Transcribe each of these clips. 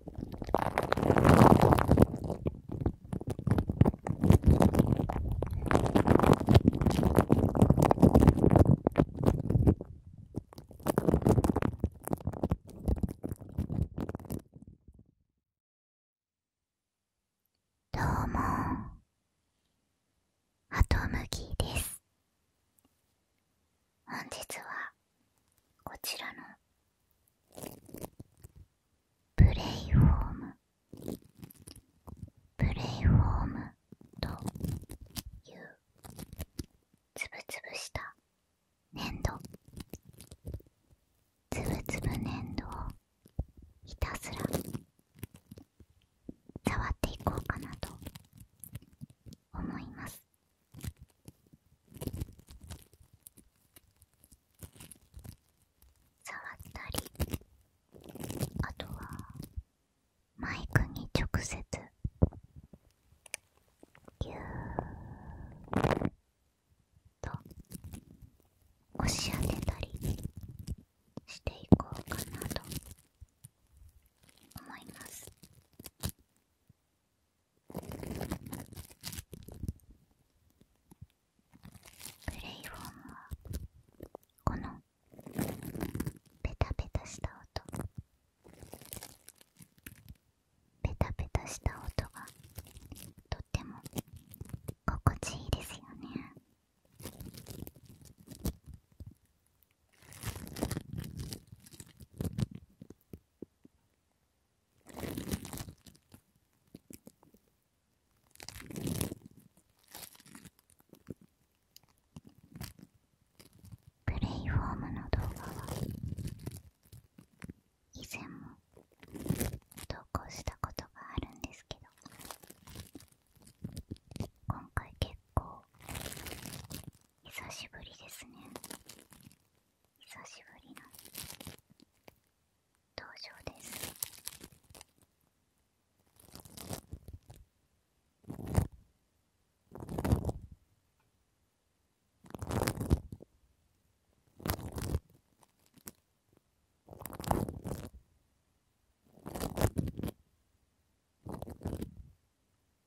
どうもハとむぎです本日はこちらのプレイフォームプレイフォームというつぶつぶした粘土つぶつぶ粘土をひたすら触っていこうかなと思います触ったりあとはマイクに直接ぎゅーっと押し当てたりしていこうかなと思います。プレイフォームはこのペタペタした音ペタペタした音がとっても心地いいですよねプレイフォームの動画は以前も投稿したことがあるんですけど今回結構久しぶりですね久しぶりの登場です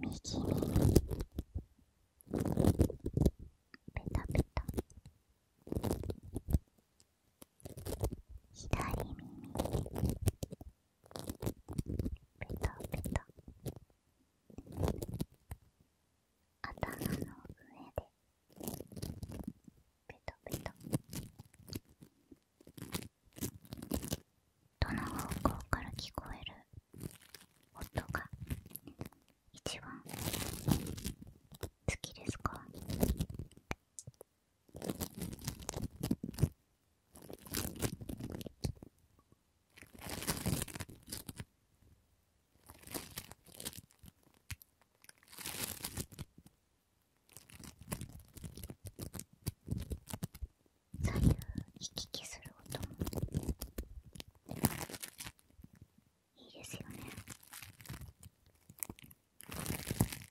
右もペタペタ左耳ペタペタ頭の上でペタペタどの方向から聞こえる音が一番好きですか左右行き来する音もいいですよね。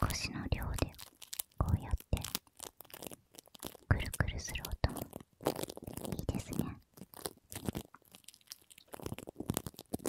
少しの量でこうやってくるくるする音もいいですね。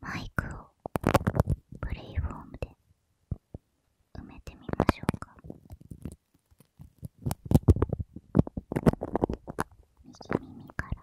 マイクをプレイフォームで埋めてみましょうか右耳から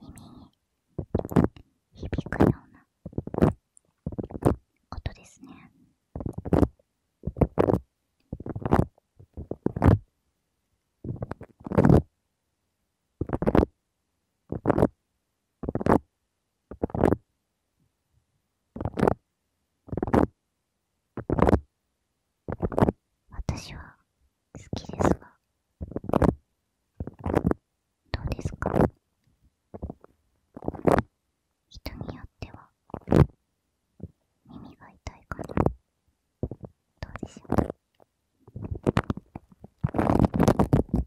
耳に響くような音ですね。私は好きですがどうですか人によっては耳が痛いかなどうでしょう耳が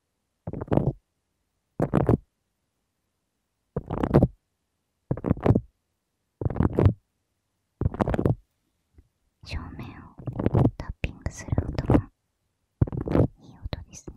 正面をタッピングする音もいい音ですね。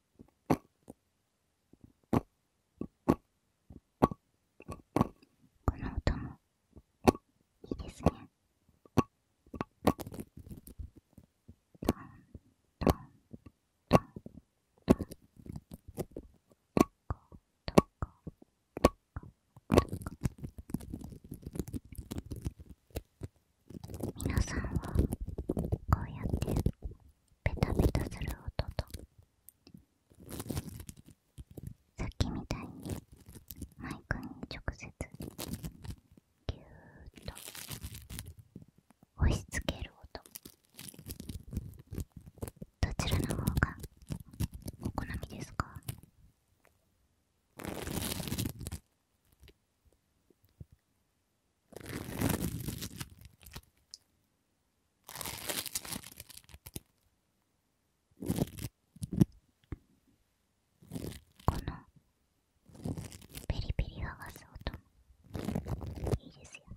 この音もいいですねトントントントンコト皆さんはこうやってペタペタする音とさっきみたいにマイクに直接ぎゅーっと押しつける音どちらの方がお好みですかこのペリペリ合わす音もいいですよね。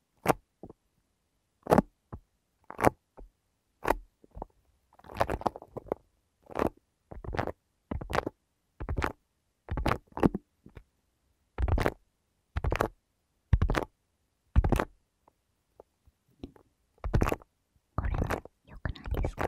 これも良くないですか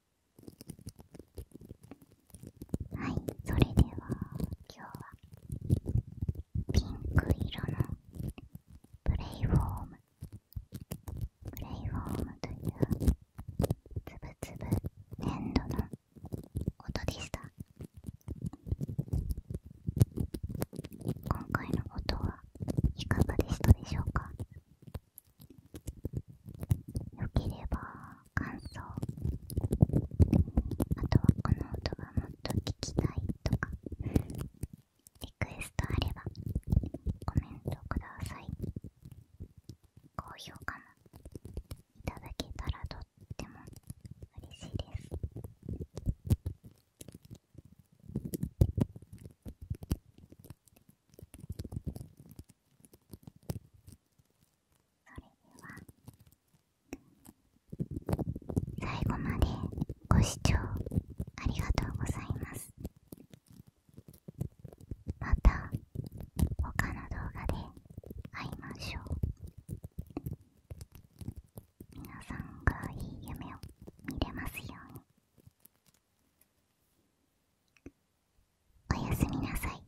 はい、それでは今日はピンク色のプレイフォームプレイフォームというつぶつぶ粘土の音でした今回の音はいかがでしたでしょうかよければ感想あとはこの音がもっと聞きたいとかリクエストあればコメントください高評価もいただけたらとっても嬉しいですそれでは最後までご視聴ありがとうございますまた他の動画で会いましょうみなさんがいい夢を見れますようにおやすみなさい